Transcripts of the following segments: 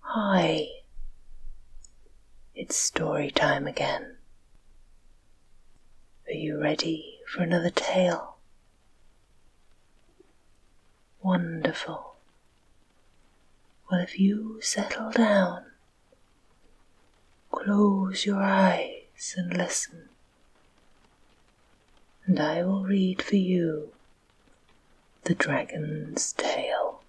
Hi, it's story time again. Are you ready for another tale? Wonderful. Well, if you settle down, close your eyes and listen, and I will read for you the Dragon's Tail.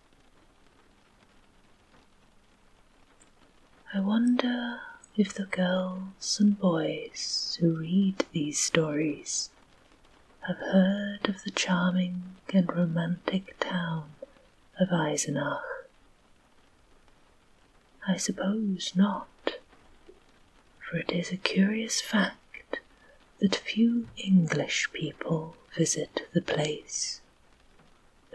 I wonder if the girls and boys who read these stories have heard of the charming and romantic town of Eisenach. I suppose not, for it is a curious fact that few English people visit the place,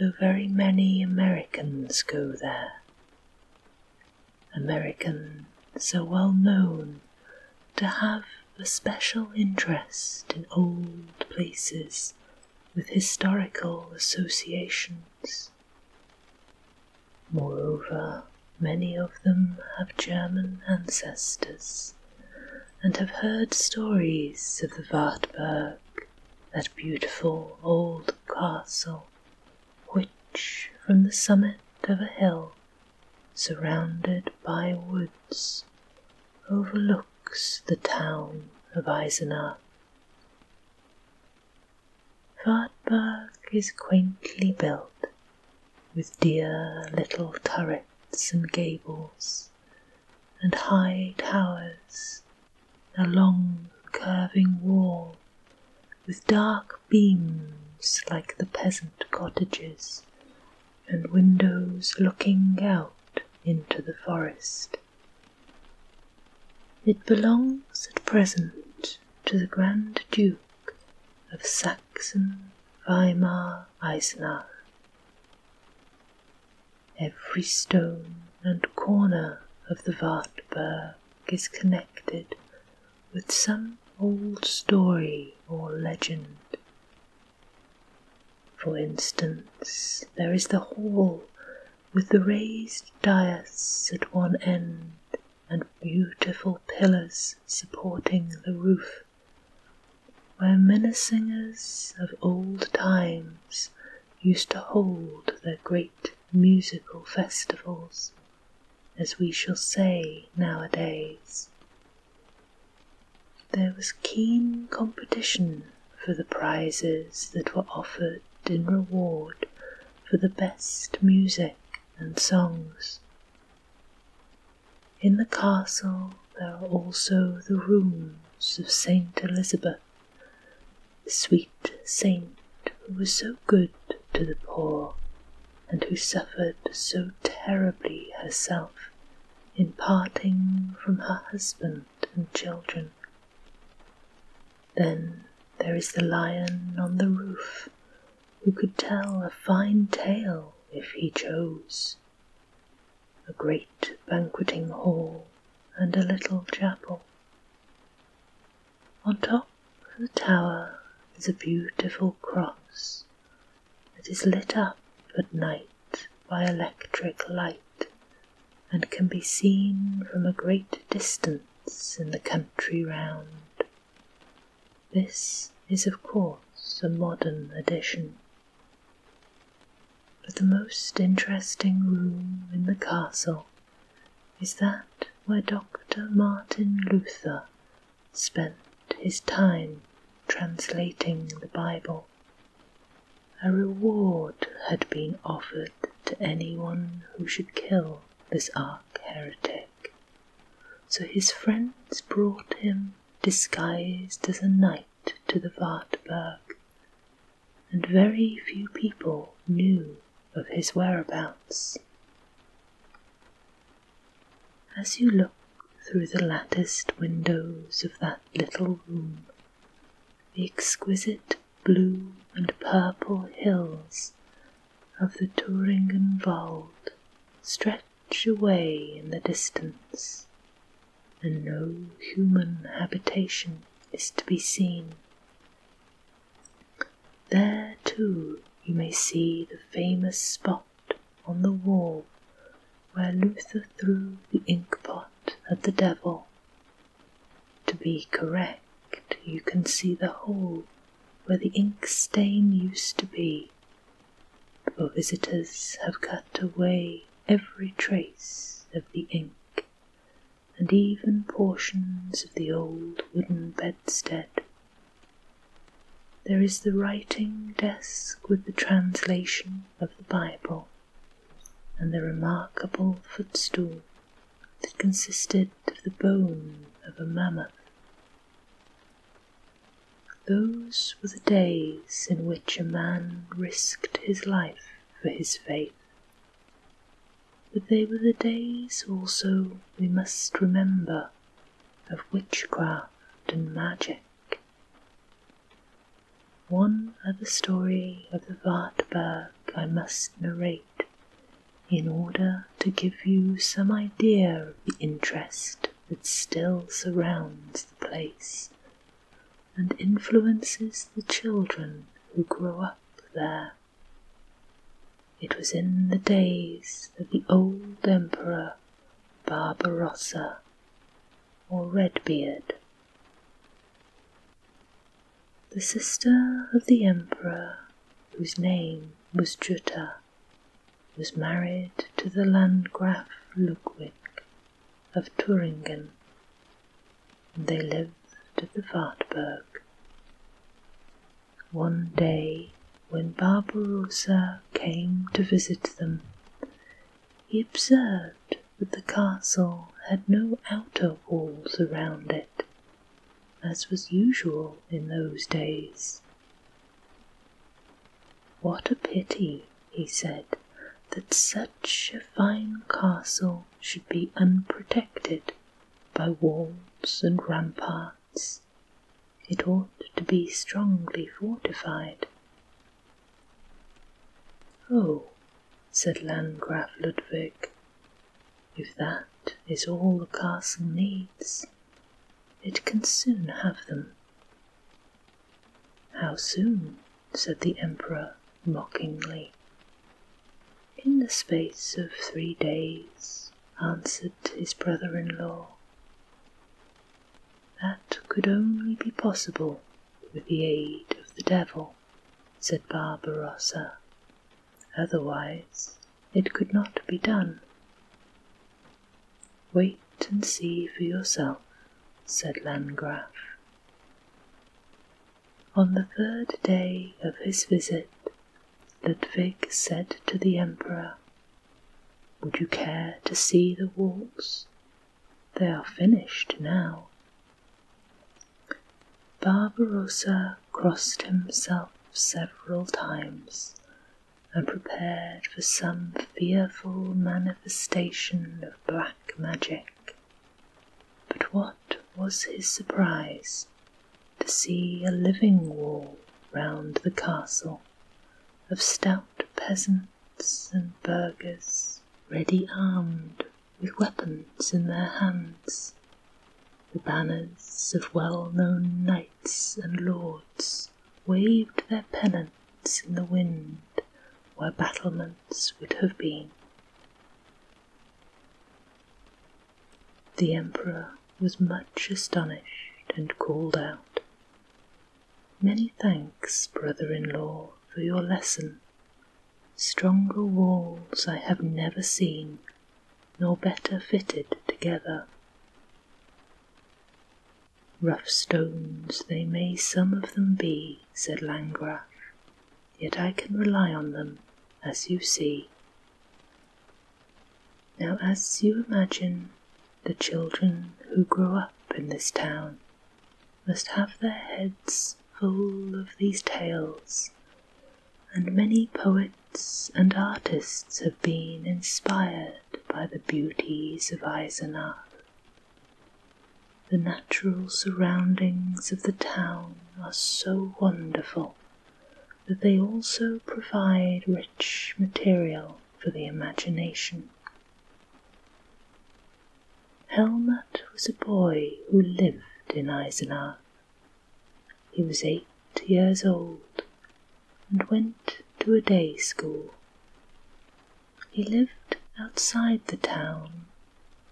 though very many Americans go there. Americans are well known to have a special interest in old places with historical associations. Moreover, many of them have German ancestors and have heard stories of the Wartburg, that beautiful old castle, which from the summit of a hill, surrounded by woods, overlooks the town of Eisenach. Wartburg is quaintly built with dear little turrets and gables, and high towers, a long curving wall, with dark beams like the peasant cottages, and windows looking out into the forest. It belongs at present to the Grand Duke of Saxon Weimar far Every stone and corner of the Wartburg is connected with some old story or legend. For instance, there is the hall with the raised dais at one end and beautiful pillars supporting the roof where minnesingers of old times used to hold their great musical festivals, as we shall say nowadays. There was keen competition for the prizes that were offered in reward for the best music and songs. In the castle there are also the rooms of Saint Elizabeth, the sweet saint who was so good to the poor, and who suffered so terribly herself in parting from her husband and children. Then there is the lion on the roof who could tell a fine tale if he chose, a great banqueting hall and a little chapel. On top of the tower is a beautiful cross that is lit up at night by electric light and can be seen from a great distance in the country round. This is, of course, a modern addition. But the most interesting room in the castle is that where Dr. Martin Luther spent his time translating the Bible. A reward had been offered to anyone who should kill this arch heretic, so his friends brought him disguised as a knight to the Wartburg, and very few people knew of his whereabouts. As you look through the latticed windows of that little room, the exquisite blue and purple hills of the Thuringian Wald stretch away in the distance, and no human habitation is to be seen. There, too, you may see the famous spot on the wall where Luther threw the inkpot at the devil. To be correct, you can see the hole where the ink stain used to be for visitors have cut away every trace of the ink, and even portions of the old wooden bedstead. There is the writing desk with the translation of the Bible, and the remarkable footstool that consisted of the bone of a mammoth those were the days in which a man risked his life for his faith. But they were the days also, we must remember, of witchcraft and magic. One other story of the Wartburg I must narrate in order to give you some idea of the interest that still surrounds the place and influences the children who grow up there. It was in the days of the old emperor Barbarossa or Redbeard. The sister of the emperor, whose name was Jutta, was married to the Landgraf Ludwig of Thuringen, and they lived at the Wartburg. One day, when Barbarossa came to visit them, he observed that the castle had no outer walls around it, as was usual in those days. What a pity, he said, that such a fine castle should be unprotected by walls and ramparts. It ought to be strongly fortified. Oh, said Landgraf Ludwig, if that is all the castle needs, it can soon have them. How soon? said the emperor mockingly. In the space of three days, answered his brother in law. That could only be possible with the aid of the devil, said Barbarossa. Otherwise, it could not be done. Wait and see for yourself, said Landgraf. On the third day of his visit, Ludwig said to the Emperor, Would you care to see the walls? They are finished now. Barbarossa crossed himself several times and prepared for some fearful manifestation of black magic. But what was his surprise to see a living wall round the castle of stout peasants and burghers ready armed with weapons in their hands, the banners of well known knights and lords waved their pennants in the wind where battlements would have been. The emperor was much astonished and called out, Many thanks, brother in law, for your lesson. Stronger walls I have never seen, nor better fitted together. Rough stones they may some of them be, said Langraf, yet I can rely on them, as you see. Now, as you imagine, the children who grow up in this town must have their heads full of these tales, and many poets and artists have been inspired by the beauties of Eisenach. The natural surroundings of the town are so wonderful that they also provide rich material for the imagination. Helmut was a boy who lived in Eisenach. He was eight years old and went to a day school. He lived outside the town,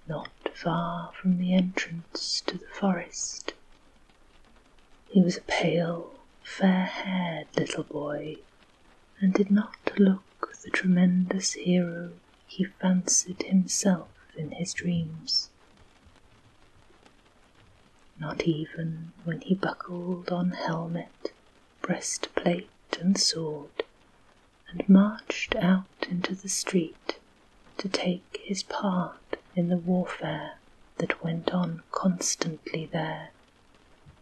not far from the entrance to the forest. He was a pale, fair-haired little boy, and did not look the tremendous hero he fancied himself in his dreams. Not even when he buckled on helmet, breastplate, and sword, and marched out into the street to take his part in the warfare that went on constantly there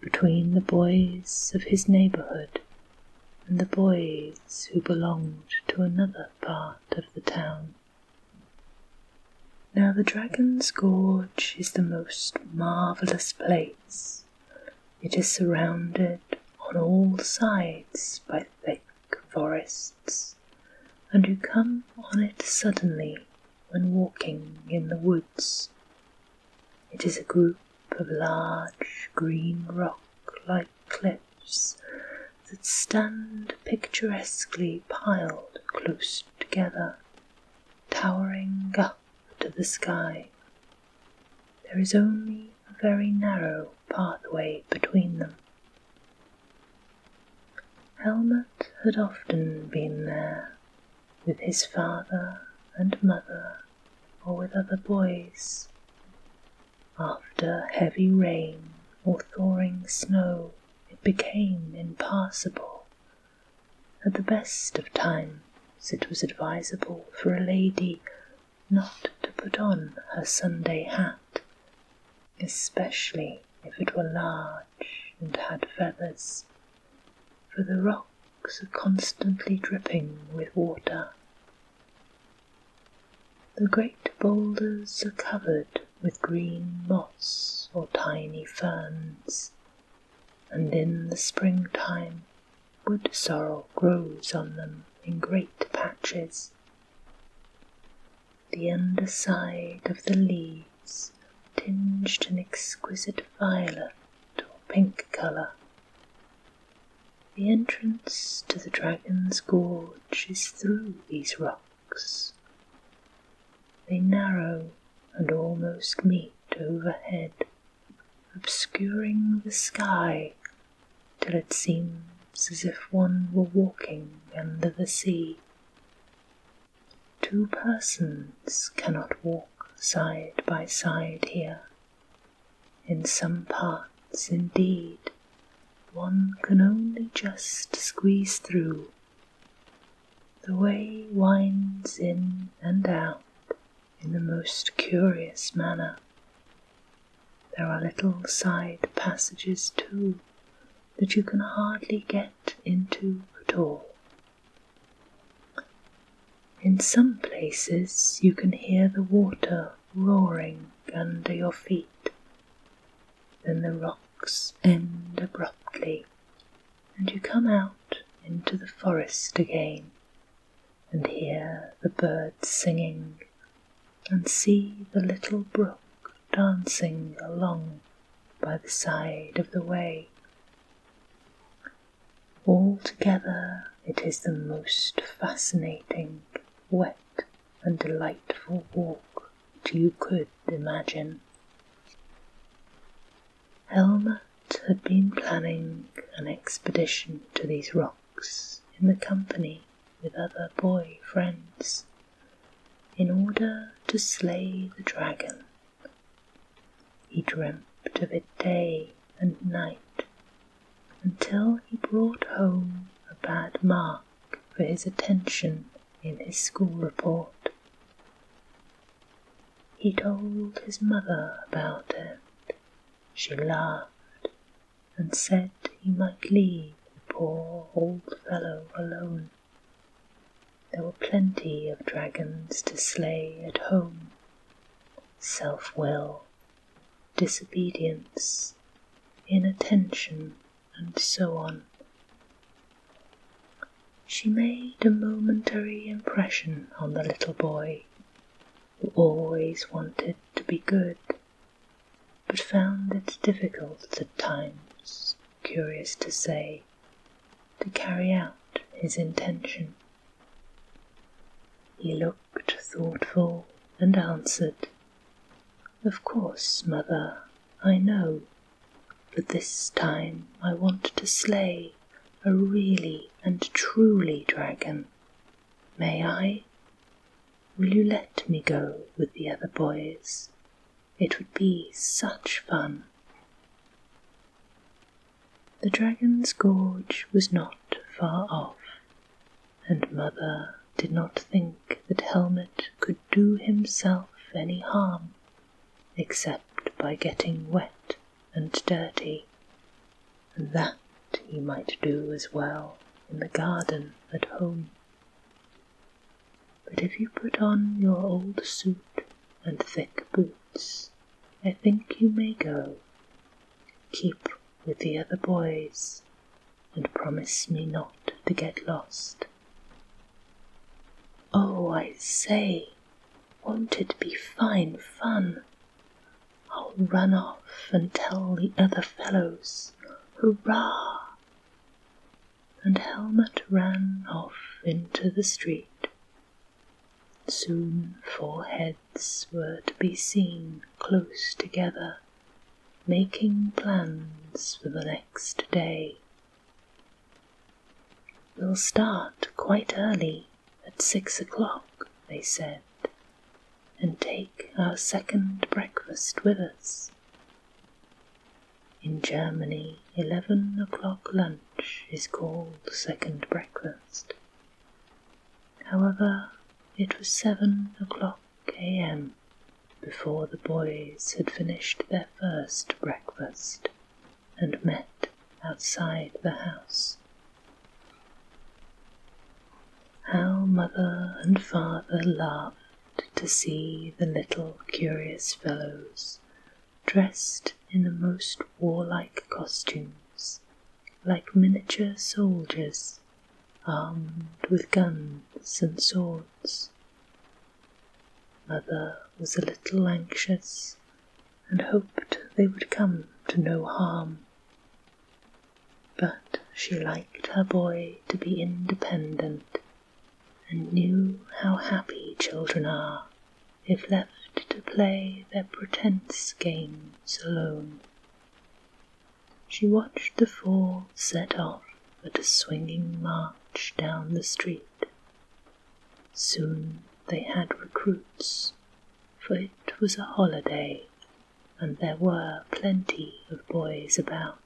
between the boys of his neighborhood and the boys who belonged to another part of the town. Now the Dragon's Gorge is the most marvellous place. It is surrounded on all sides by thick forests, and you come on it suddenly when walking in the woods. It is a group of large green rock-like cliffs that stand picturesquely piled close together towering up to the sky. There is only a very narrow pathway between them. Helmut had often been there with his father and mother or with other boys after heavy rain or thawing snow, it became impassable at the best of times it was advisable for a lady not to put on her Sunday hat, especially if it were large and had feathers, for the rocks are constantly dripping with water. The great boulders are covered with green moss or tiny ferns, and in the springtime wood sorrel grows on them in great patches. The underside of the leaves tinged an exquisite violet or pink colour. The entrance to the Dragon's Gorge is through these rocks. They narrow and almost meet overhead, obscuring the sky till it seems as if one were walking under the sea. Two persons cannot walk side by side here. In some parts, indeed, one can only just squeeze through the way winds in and out in the most curious manner. There are little side passages too that you can hardly get into at all. In some places you can hear the water roaring under your feet, then the rocks end abruptly, and you come out into the forest again, and hear the birds singing, and see the little brook dancing along by the side of the way. Altogether, it is the most fascinating, wet, and delightful walk you could imagine. Helmut had been planning an expedition to these rocks in the company with other boy friends in order to slay the dragon. He dreamt of it day and night until he brought home a bad mark for his attention in his school report. He told his mother about it. She laughed and said he might leave the poor old fellow alone. There were plenty of dragons to slay at home. Self will, disobedience, inattention and so on. She made a momentary impression on the little boy, who always wanted to be good, but found it difficult at times, curious to say, to carry out his intention. He looked thoughtful and answered, Of course, mother, I know. But this time I want to slay a really and truly dragon. May I? Will you let me go with the other boys? It would be such fun. The dragon's gorge was not far off, and Mother did not think that Helmet could do himself any harm except by getting wet and dirty, and that he might do as well in the garden at home. But if you put on your old suit and thick boots, I think you may go. Keep with the other boys, and promise me not to get lost Oh, I say, won't it be fine fun? I'll run off and tell the other fellows, hurrah! And Helmut ran off into the street. Soon four heads were to be seen close together, making plans for the next day. We'll start quite early, at six o'clock, they said, and take our second breakfast with us. In Germany, eleven o'clock lunch is called second breakfast. However, it was seven o'clock a.m before the boys had finished their first breakfast and met outside the house. How mother and father laughed to see the little curious fellows dressed in the most warlike costumes, like miniature soldiers, armed with guns and swords. Mother was a little anxious and hoped they would come to no harm. But she liked her boy to be independent and knew how happy children are if left to play their pretense games alone. She watched the four set off but a swinging march down the street. Soon they had recruits, for it was a holiday, and there were plenty of boys about.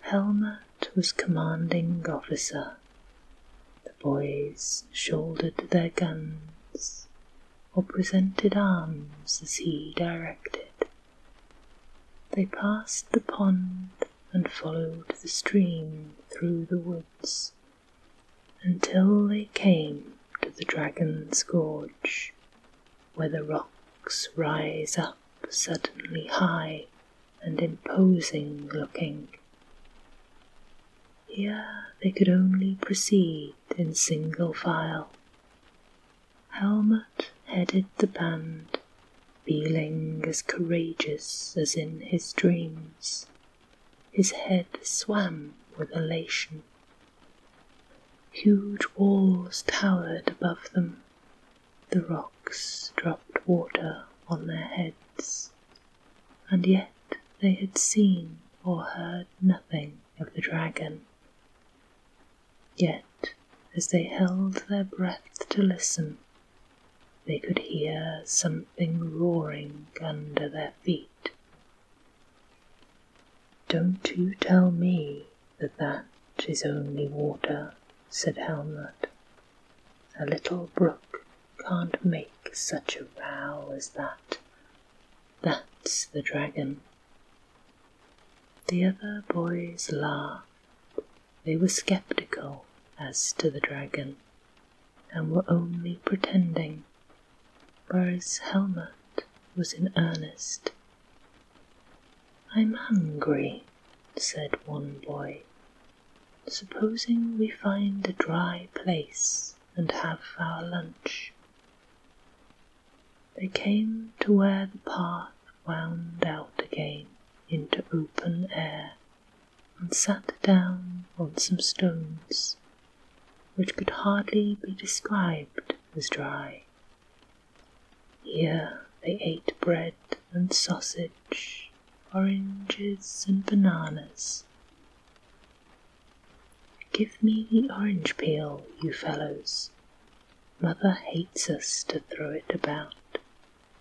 Helmut was commanding officer. The boys shouldered their guns or presented arms as he directed. They passed the pond and followed the stream through the woods until they came to the Dragon's Gorge, where the rocks rise up suddenly high and imposing looking. Here they could only proceed in single file Helmut headed the band, feeling as courageous as in his dreams. His head swam with elation. Huge walls towered above them. The rocks dropped water on their heads. And yet they had seen or heard nothing of the dragon. Yet, as they held their breath to listen, they could hear something roaring under their feet. "Don't you tell me that that is only water," said Helmut. "A little brook can't make such a row as that. That's the dragon. The other boys laughed. They were skeptical as to the dragon, and were only pretending, whereas Helmut was in earnest. I'm hungry, said one boy. Supposing we find a dry place and have our lunch. They came to where the path wound out again into open air, and sat down on some stones, which could hardly be described as dry. Here they ate bread and sausage, oranges and bananas. "Give me the orange peel, you fellows!" Mother hates us to throw it about,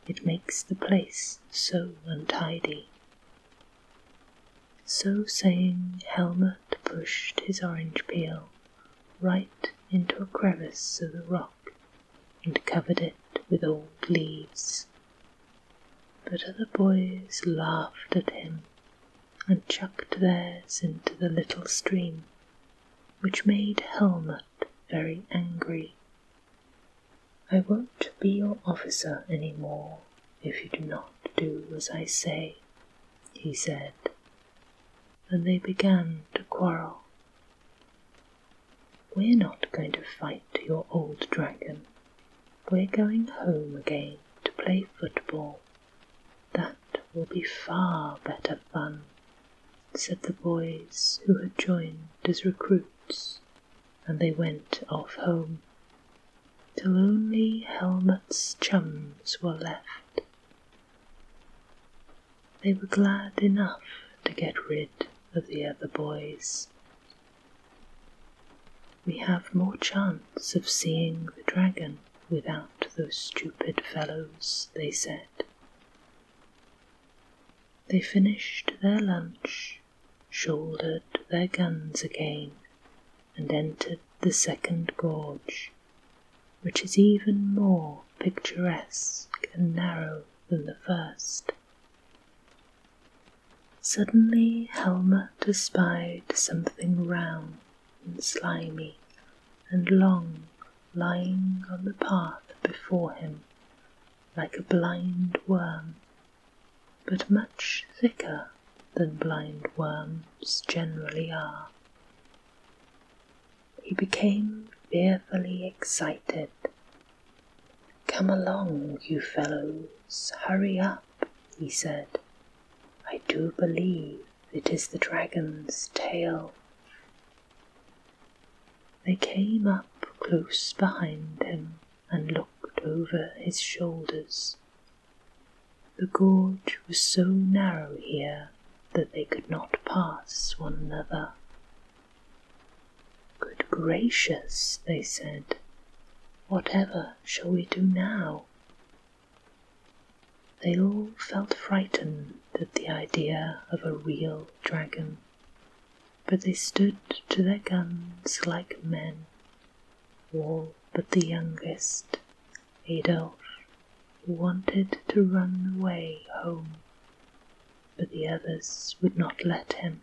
it makes the place so untidy. So saying, Helmut pushed his orange peel right into a crevice of the rock and covered it with old leaves. But other boys laughed at him and chucked theirs into the little stream which made Helmut very angry. I won't be your officer any more if you do not do as I say, he said, and they began to quarrel. We're not going to fight your old dragon. We're going home again to play football that will be far better fun, said the boys who had joined as recruits, and they went off home, till only Helmut's chums were left. They were glad enough to get rid of the other boys. We have more chance of seeing the dragon, without those stupid fellows, they said. They finished their lunch, shouldered their guns again, and entered the second gorge, which is even more picturesque and narrow than the first. Suddenly Helmer espied something round and slimy and long lying on the path before him like a blind worm, but much thicker than blind worms generally are. He became fearfully excited. Come along, you fellows, hurry up, he said. I do believe it is the dragon's tail. They came up close behind him and looked over his shoulders. The gorge was so narrow here that they could not pass one another. Good gracious, they said, whatever shall we do now? They all felt frightened at the idea of a real dragon, but they stood to their guns like men, all but the youngest, Adolf, who wanted to run away home, but the others would not let him.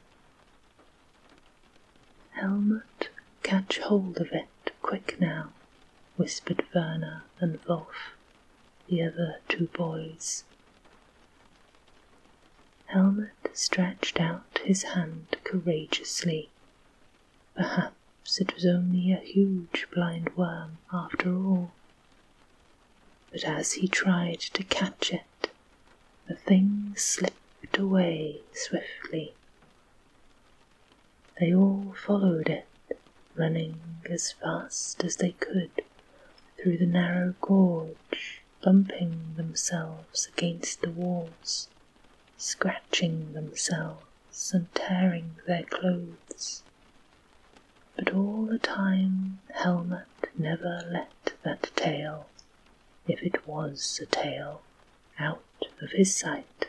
"Helmut, catch hold of it!" quick now, whispered Werner and Wolf, the other two boys. Helmut stretched out his hand courageously. Perhaps it was only a huge blind worm after all. But as he tried to catch it, the thing slipped away swiftly. They all followed it, running as fast as they could through the narrow gorge, bumping themselves against the walls, scratching themselves and tearing their clothes. But all the time Helmut never let that tail, if it was a tail, out of his sight.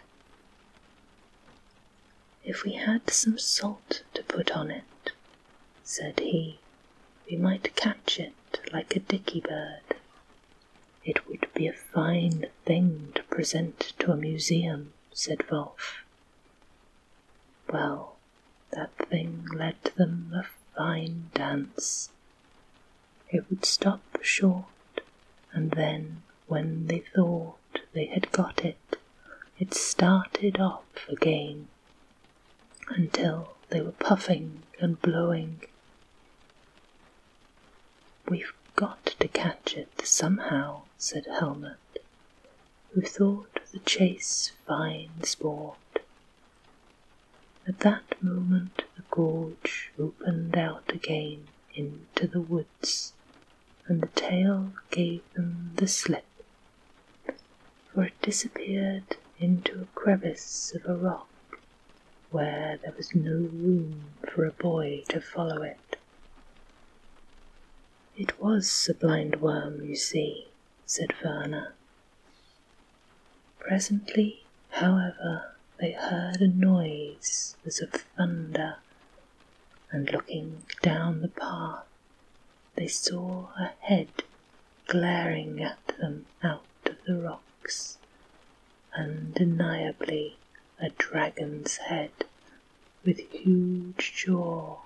If we had some salt to put on it, said he, we might catch it like a dicky bird. It would be a fine thing to present to a museum, said Wolf. Well, that thing led them a fine dance. It would stop short and then when they thought they had got it, it started off again until they were puffing and blowing. We've got to catch it somehow, said Helmut, who thought the chase fine sport. At that moment the gorge opened out again into the woods and the tail gave them the slip, for it disappeared into a crevice of a rock where there was no room for a boy to follow it. It was a blind worm, you see, said Werner. Presently, however, they heard a noise as of thunder and looking down the path, they saw a head glaring at them out of the rocks, undeniably a dragon's head with huge jaw,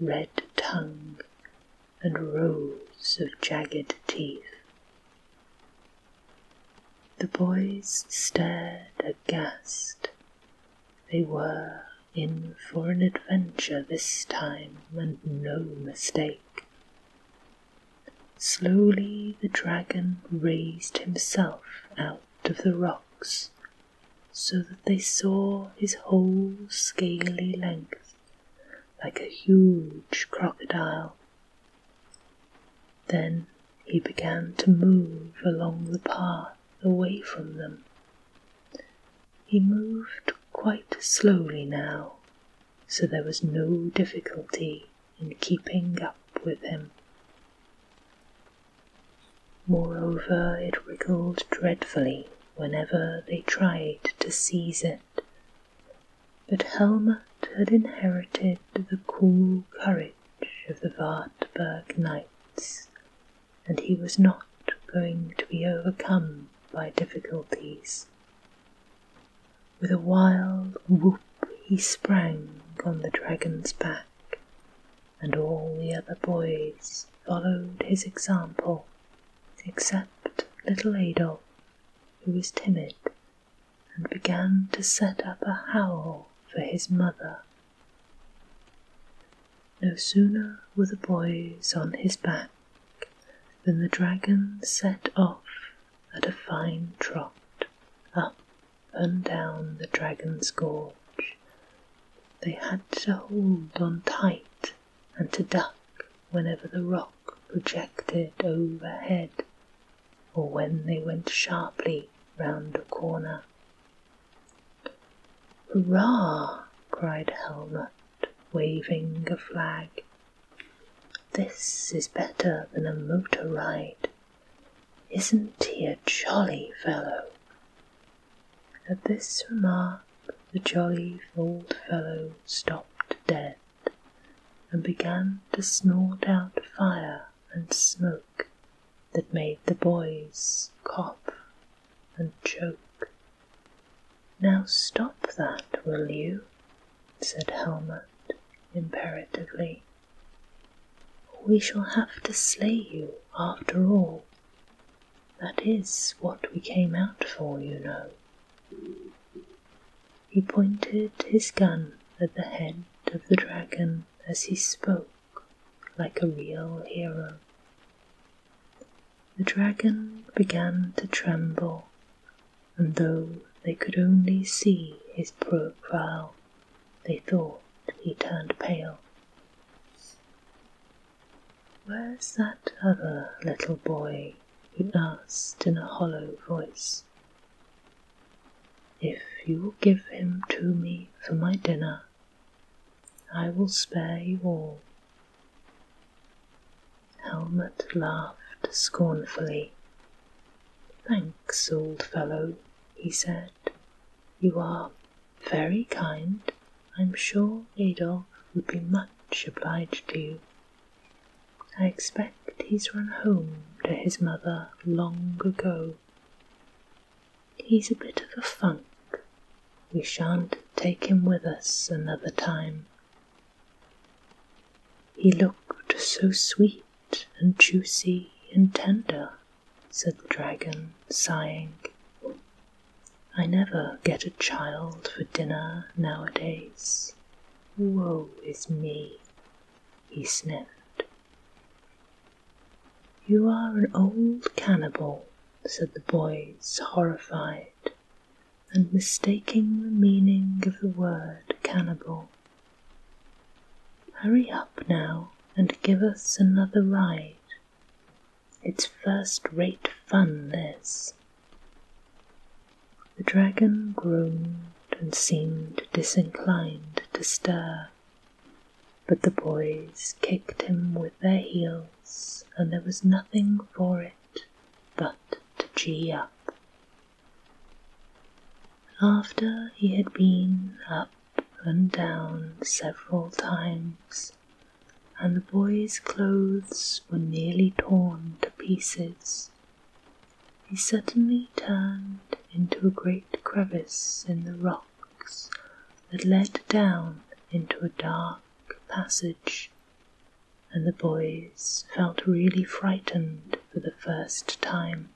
red tongue, and rows of jagged teeth. The boys stared aghast they were in for an adventure this time, and no mistake. Slowly the dragon raised himself out of the rocks, so that they saw his whole scaly length, like a huge crocodile. Then he began to move along the path away from them. He moved quite slowly now, so there was no difficulty in keeping up with him. Moreover, it wriggled dreadfully whenever they tried to seize it. But Helmut had inherited the cool courage of the Wartburg knight and he was not going to be overcome by difficulties. With a wild whoop he sprang on the dragon's back, and all the other boys followed his example, except little Adolf, who was timid, and began to set up a howl for his mother no sooner were the boys on his back than the dragon set off at a fine trot up and down the dragon's gorge. They had to hold on tight and to duck whenever the rock projected overhead or when they went sharply round a corner. Hurrah! cried Helmut, waving a flag. This is better than a motor ride. Isn't he a jolly fellow? At this remark, the jolly old fellow stopped dead and began to snort out fire and smoke that made the boys cough and choke. Now stop that, will you? said Helmut imperatively. We shall have to slay you after all. That is what we came out for, you know. He pointed his gun at the head of the dragon as he spoke like a real hero. The dragon began to tremble, and though they could only see his profile, they thought he turned pale. Where's that other little boy? he asked in a hollow voice. If you will give him to me for my dinner, I will spare you all. Helmut laughed scornfully. Thanks, old fellow, he said. You are very kind. I'm sure Adolf would be much obliged to you. I expect he's run home to his mother long ago. He's a bit of a funk. We shan't take him with us another time. He looked so sweet and juicy and tender, said the dragon, sighing. I never get a child for dinner nowadays. Woe is me, he sniffed. You are an old cannibal, said the boys, horrified, and mistaking the meaning of the word cannibal. Hurry up now and give us another ride. It's first rate fun, this. The dragon groaned and seemed disinclined to stir. But the boys kicked him with their heels, and there was nothing for it but to gee up. After he had been up and down several times, and the boy's clothes were nearly torn to pieces, he suddenly turned into a great crevice in the rocks that led down into a dark passage, and the boys felt really frightened for the first time.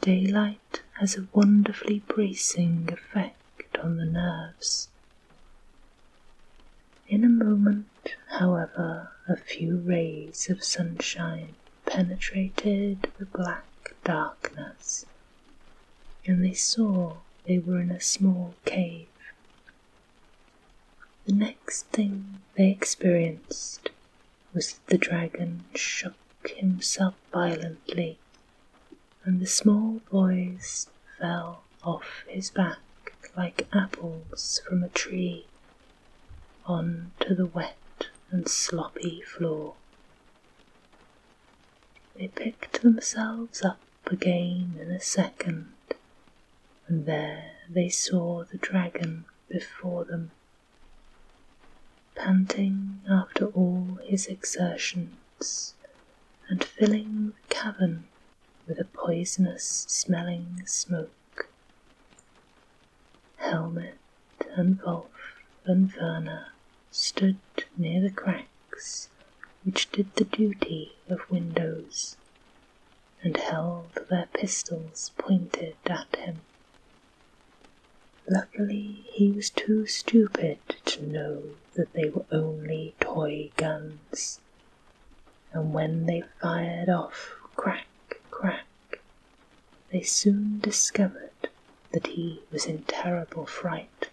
Daylight has a wonderfully bracing effect on the nerves. In a moment, however, a few rays of sunshine penetrated the black darkness, and they saw they were in a small cave. The next thing they experienced was that the dragon shook himself violently, and the small boys fell off his back like apples from a tree on to the wet and sloppy floor. They picked themselves up again in a second, and there they saw the dragon before them. Panting after all his exertions, and filling the cavern with a poisonous smelling smoke. Helmet and Wolf and Werner stood near the cracks which did the duty of windows, and held their pistols pointed at him. Luckily he was too stupid to know that they were only toy guns, and when they fired off crack, crack, they soon discovered that he was in terrible fright.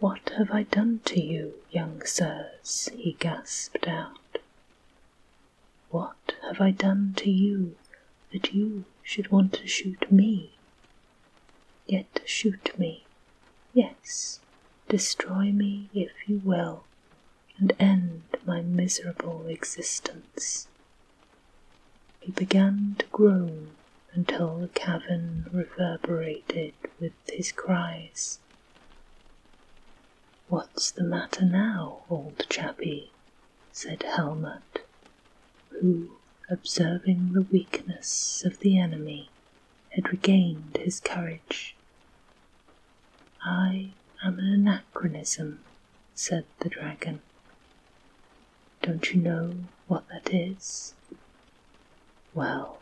What have I done to you, young sirs? he gasped out. What have I done to you that you should want to shoot me? Yet shoot me, yes, destroy me if you will, and end my miserable existence. He began to groan until the cavern reverberated with his cries. What's the matter now, old chappie? said Helmut, who, observing the weakness of the enemy, had regained his courage. I am an anachronism, said the dragon. Don't you know what that is? Well,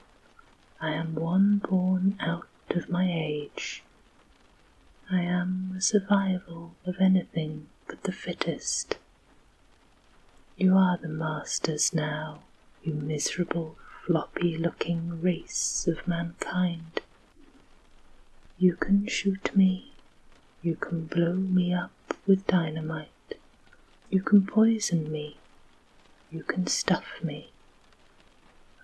I am one born out of my age. I am a survival of anything but the fittest. You are the masters now, you miserable, floppy looking race of mankind. You can shoot me, you can blow me up with dynamite, you can poison me, you can stuff me.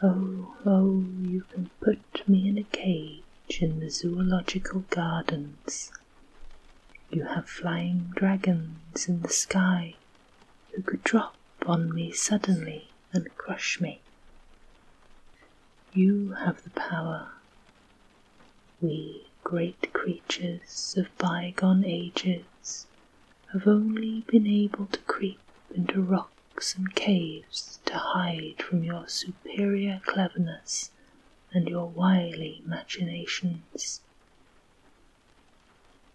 Oh, oh, you can put me in a cage in the zoological gardens. You have flying dragons in the sky who could drop on me suddenly and crush me. You have the power, we great creatures of bygone ages have only been able to creep into rocks and caves to hide from your superior cleverness and your wily machinations.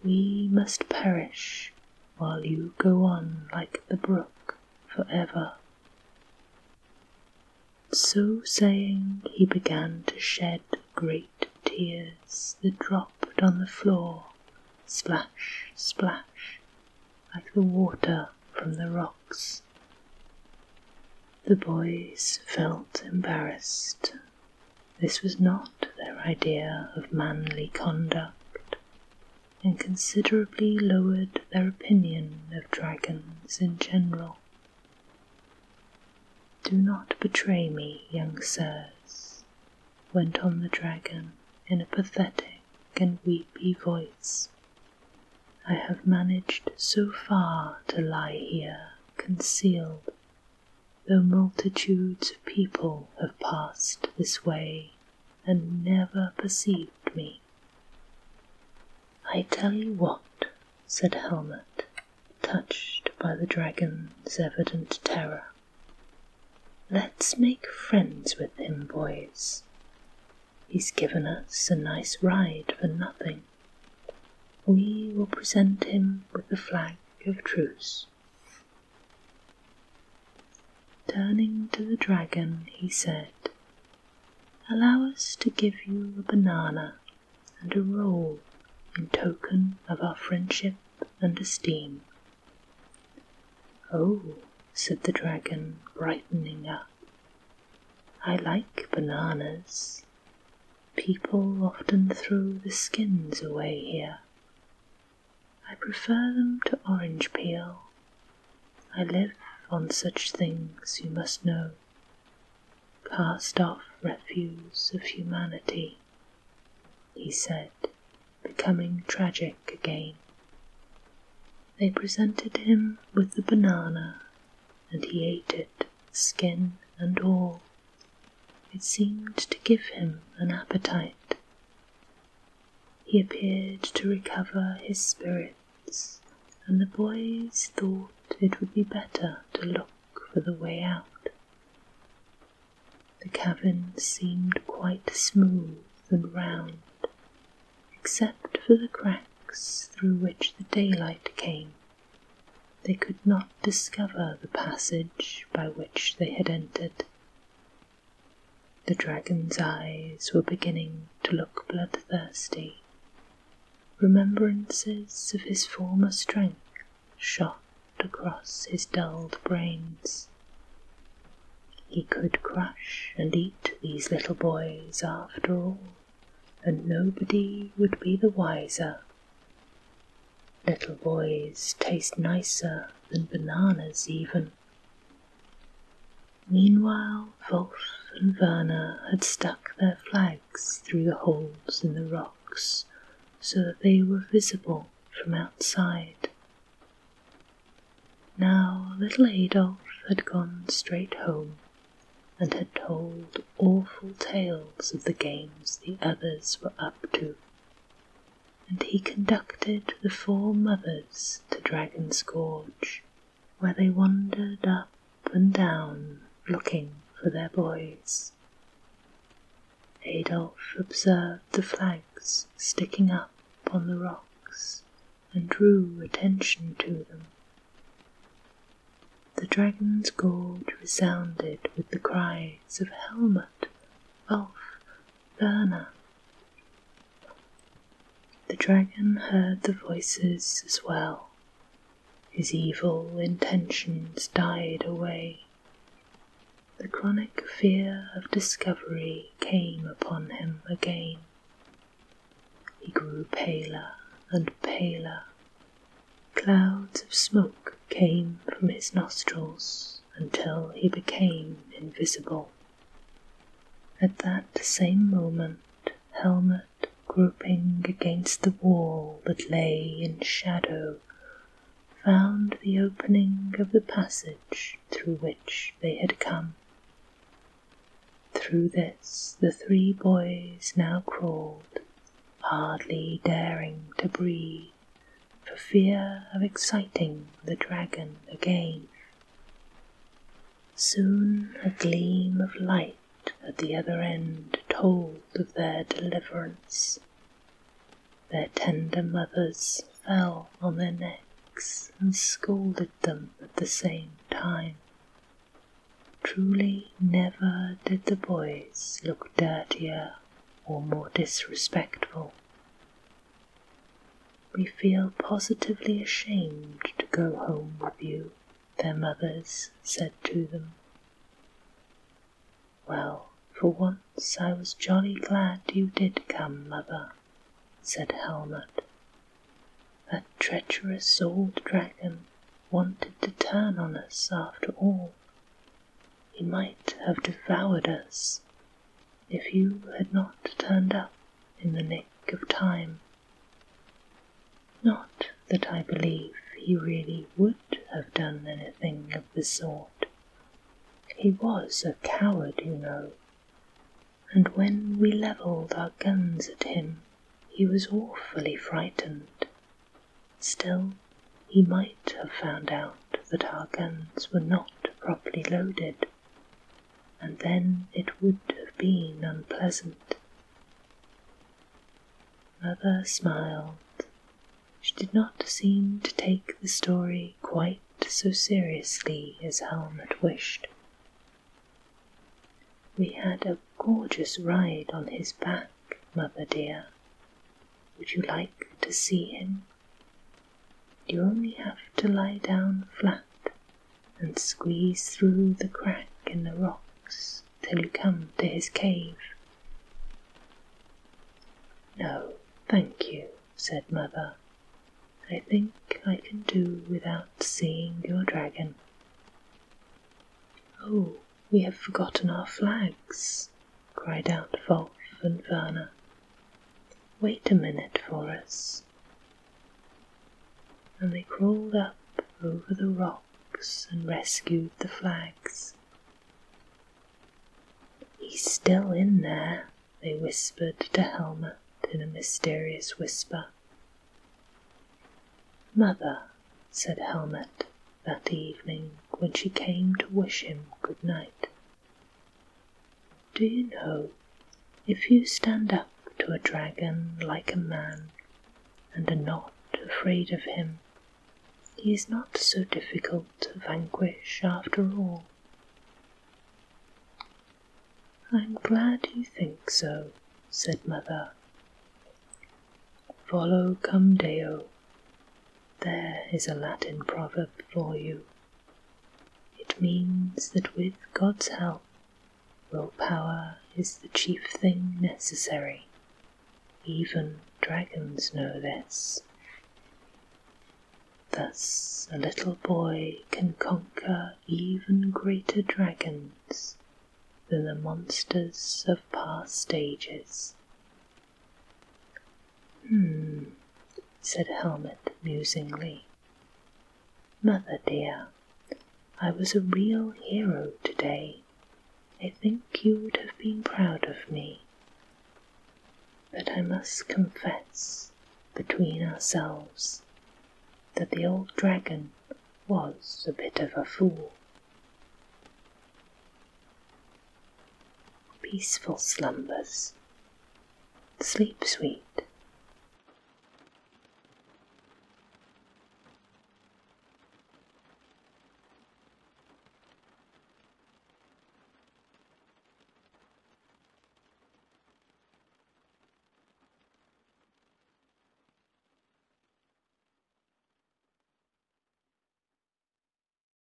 We must perish while you go on like the brook for ever. So saying, he began to shed great tears that dropped on the floor, splash, splash, like the water from the rocks. The boys felt embarrassed. This was not their idea of manly conduct, and considerably lowered their opinion of dragons in general. Do not betray me, young sirs, went on the dragon in a pathetic and weepy voice. I have managed so far to lie here concealed, though multitudes of people have passed this way and never perceived me. I tell you what, said Helmut, touched by the dragon's evident terror. Let's make friends with him, boys. He's given us a nice ride for nothing. We will present him with the flag of truce. Turning to the dragon, he said, Allow us to give you a banana and a roll in token of our friendship and esteem. Oh, said the dragon, brightening up, I like bananas. People often throw the skins away here. I prefer them to orange peel. I live on such things, you must know. Cast off refuse of humanity, he said, becoming tragic again. They presented him with the banana, and he ate it, skin and all. It seemed to give him an appetite. He appeared to recover his spirits, and the boys thought it would be better to look for the way out. The cavern seemed quite smooth and round, except for the cracks through which the daylight came. They could not discover the passage by which they had entered. The dragon's eyes were beginning to look bloodthirsty. Remembrances of his former strength shot across his dulled brains. He could crush and eat these little boys after all, and nobody would be the wiser. Little boys taste nicer than bananas even. Meanwhile, Wolf and Werner had stuck their flags through the holes in the rocks so that they were visible from outside. Now little Adolf had gone straight home and had told awful tales of the games the others were up to and he conducted the four mothers to Dragon's Gorge, where they wandered up and down looking for their boys. Adolf observed the flags sticking up on the rocks and drew attention to them. The dragon's gorge resounded with the cries of Helmut, Ulf, Burma. The dragon heard the voices as well. His evil intentions died away. The chronic fear of discovery came upon him again. He grew paler and paler. Clouds of smoke came from his nostrils until he became invisible. At that same moment, Helmut, groping against the wall that lay in shadow, found the opening of the passage through which they had come. Through this the three boys now crawled, hardly daring to breathe for fear of exciting the dragon again. Soon a gleam of light at the other end told of their deliverance. Their tender mothers fell on their necks and scolded them at the same time. Truly never did the boys look dirtier or more disrespectful. We feel positively ashamed to go home with you, their mothers said to them. Well, for once I was jolly glad you did come, mother, said Helmut. That treacherous old dragon wanted to turn on us after all, he might have devoured us if you had not turned up in the nick of time. Not that I believe he really would have done anything of the sort. He was a coward, you know, and when we levelled our guns at him he was awfully frightened. Still he might have found out that our guns were not properly loaded, and then it would have been unpleasant. Mother smiled. She did not seem to take the story quite so seriously as Helmut wished. We had a gorgeous ride on his back, mother dear. Would you like to see him? You only have to lie down flat and squeeze through the crack in the rocks till you come to his cave." "No, thank you," said Mother. "I think I can do without seeing your dragon. Oh, we have forgotten our flags!" cried out Wolf and Werner. Wait a minute for us. And they crawled up over the rocks and rescued the flags. He's still in there, they whispered to Helmut in a mysterious whisper. Mother, said Helmut that evening when she came to wish him good night. Do you know, if you stand up to a dragon like a man and are not afraid of him, he is not so difficult to vanquish after all. I'm glad you think so, said Mother. Follow Come Deo there is a Latin proverb for you. It means that with God's help, willpower is the chief thing necessary. Even dragons know this. Thus, a little boy can conquer even greater dragons than the monsters of past ages. Hmm, said Helmut musingly. Mother dear, I was a real hero today. I think you would have been proud of me. But I must confess, between ourselves, that the old dragon was a bit of a fool peaceful slumbers. Sleep sweet.